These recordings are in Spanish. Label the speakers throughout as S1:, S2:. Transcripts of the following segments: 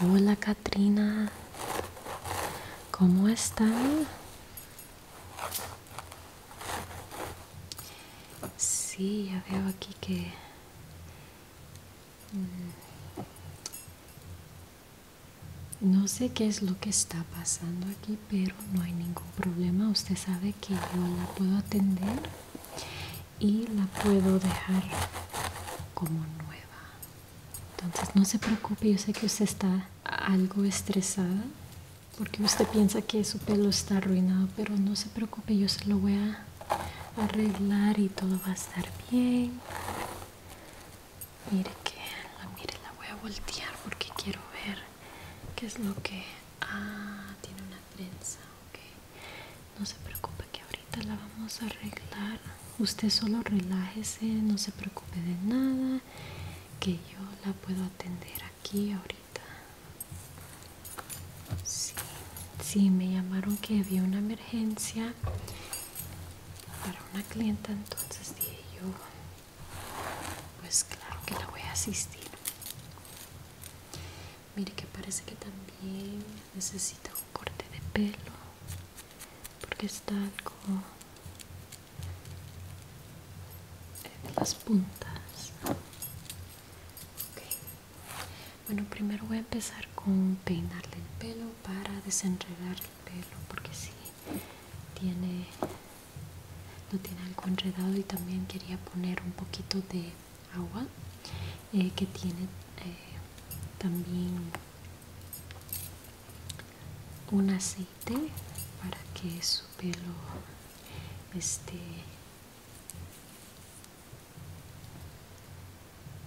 S1: Hola Katrina, ¿cómo está? Sí, ya veo aquí que mm, no sé qué es lo que está pasando aquí, pero no hay ningún problema. Usted sabe que yo la puedo atender y la puedo dejar como nueva. Entonces no se preocupe, yo sé que usted está algo estresada porque usted piensa que su pelo está arruinado, pero no se preocupe, yo se lo voy a arreglar y todo va a estar bien. Mire que mire, la voy a voltear porque quiero ver qué es lo que ah, tiene una trenza no se preocupe que ahorita la vamos a arreglar usted solo relájese no se preocupe de nada que yo la puedo atender aquí ahorita sí, sí me llamaron que había una emergencia para una clienta entonces dije yo pues claro que la voy a asistir mire que parece que también Necesito un corte de pelo porque está algo en las puntas bueno primero voy a empezar con peinarle el pelo para desenredar el pelo porque si tiene no tiene algo enredado y también quería poner un poquito de agua eh, que tiene eh, también un aceite para que su pelo esté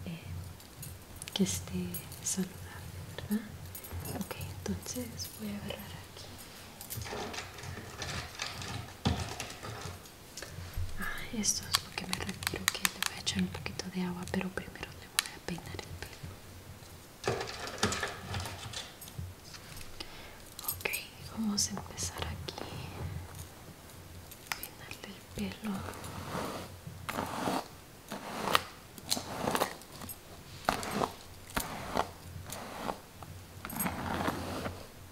S1: eh, que esté saludable verdad entonces voy a agarrar aquí Ah, esto es lo que me refiero que le voy a echar un poquito de agua, pero primero le voy a peinar el pelo. Ok, vamos a empezar aquí. Peinarle el pelo.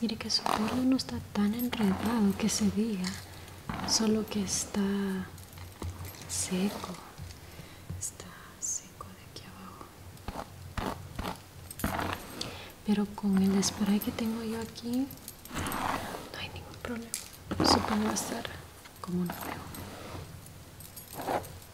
S1: Mire que su pelo no está tan enredado que se diga, solo que está seco. Está seco de aquí abajo. Pero con el spray que tengo yo aquí, no hay ningún problema. Su pelo va a estar como nuevo.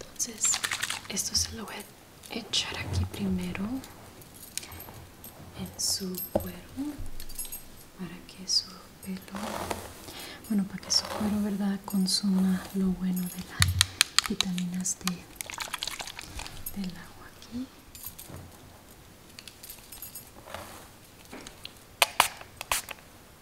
S1: Entonces, esto se lo voy a echar aquí primero en su cuero para que su pelo, bueno, para que su cuero, ¿verdad?, consuma lo bueno de las vitaminas de, del agua aquí.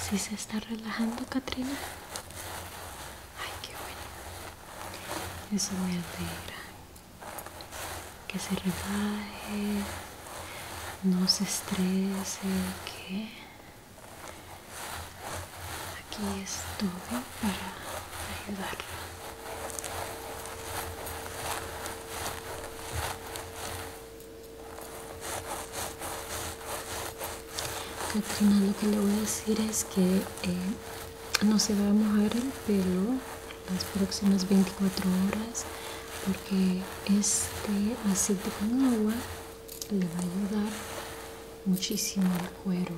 S1: Si se está relajando, Katrina. Ay, qué bueno. Eso me alegra. Que se relaje, no se estrese, que aquí estoy para ayudarlo. Catrina, lo que le voy a decir es que eh, no se va a mojar el pelo las próximas 24 horas porque este aceite con agua le va a ayudar muchísimo al cuero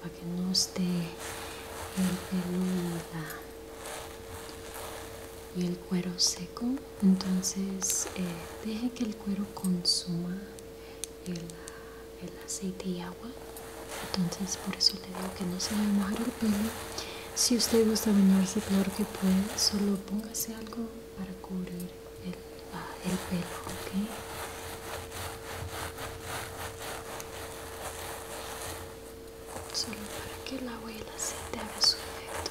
S1: para que no esté el pelo y el cuero seco entonces eh, deje que el cuero consuma el, aceite y agua. Entonces por eso le digo que no se vaya a mojar el pelo. Si usted gusta bañarse, peor que puede. Solo póngase algo para cubrir el, ah, el pelo, ¿ok? Solo para que el agua y el aceite hagan su efecto.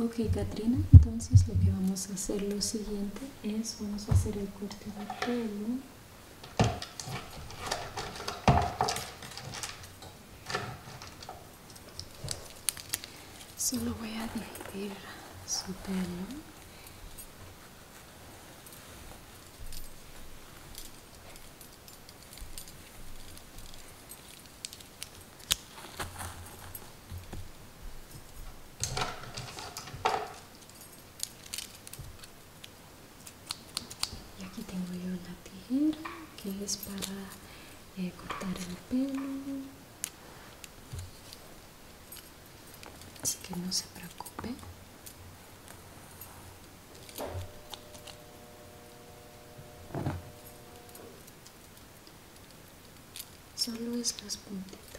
S1: Okay, Katrina, entonces lo que vamos a hacer lo siguiente es, vamos a hacer el corte de pelo Solo voy a dividir su pelo y aquí tengo yo la tijera que es para eh, cortar el pelo así que no se preocupe solo es las puntitas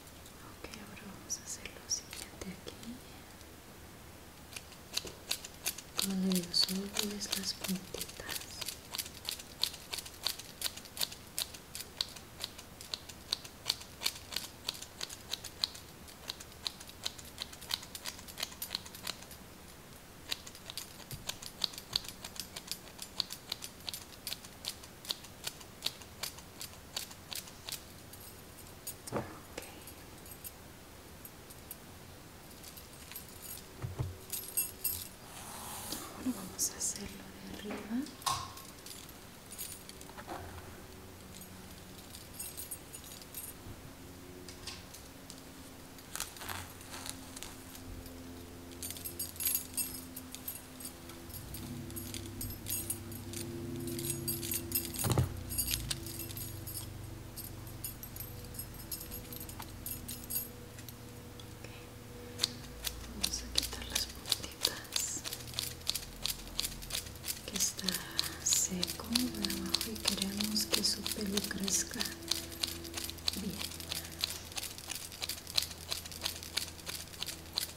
S1: Ok, ahora vamos a hacer lo siguiente aquí. con los ojos solo ves las puntitas. Okay. Ahora vamos a hacerlo de arriba. Vamos a quitar las puntitas que está seco de abajo y queremos que su pelo crezca bien.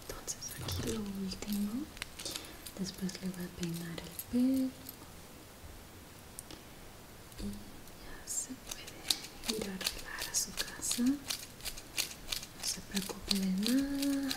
S1: entonces aquí lo último después le voy a peinar el pelo y ya se puede ir a arreglar a su casa no se preocupe de nada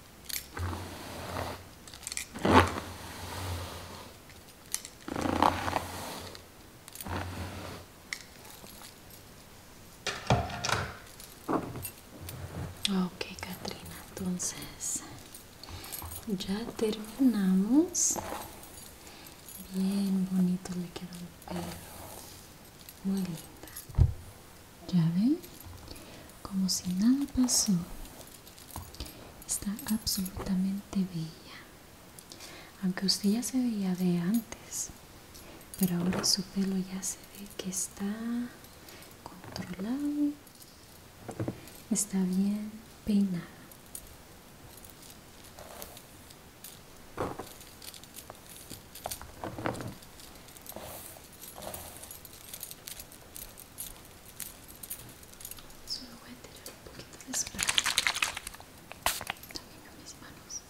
S1: Okay, Katrina, entonces ya terminamos. Bien bonito le quedó el pelo. Muy linda. Ya ven, como si nada pasó. Está absolutamente bella. Aunque usted ya se veía de antes, pero ahora su pelo ya se ve que está controlado. Está bien peinado. Solo voy a tirar un poquito de spray también mis manos.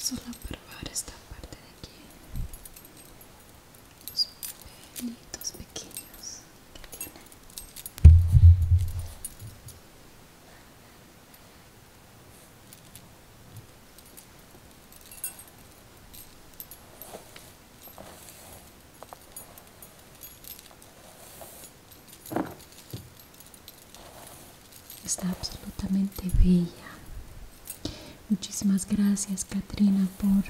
S1: Solo probar esta parte de aquí. Los pelitos pequeños que tiene. Está absolutamente bella. Muchísimas gracias, Katrina, por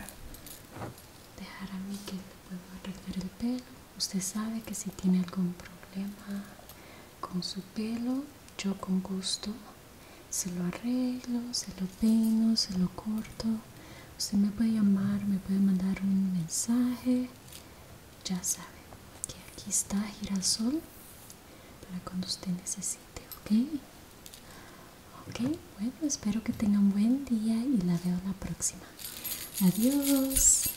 S1: dejar a mí que le puedo arreglar el pelo. Usted sabe que si tiene algún problema con su pelo, yo con gusto se lo arreglo, se lo peino, se lo corto. Usted me puede llamar, me puede mandar un mensaje. Ya sabe que aquí está girasol para cuando usted necesite, ¿ok? Ok, bueno, espero que tengan buen día y la veo la próxima. Adiós.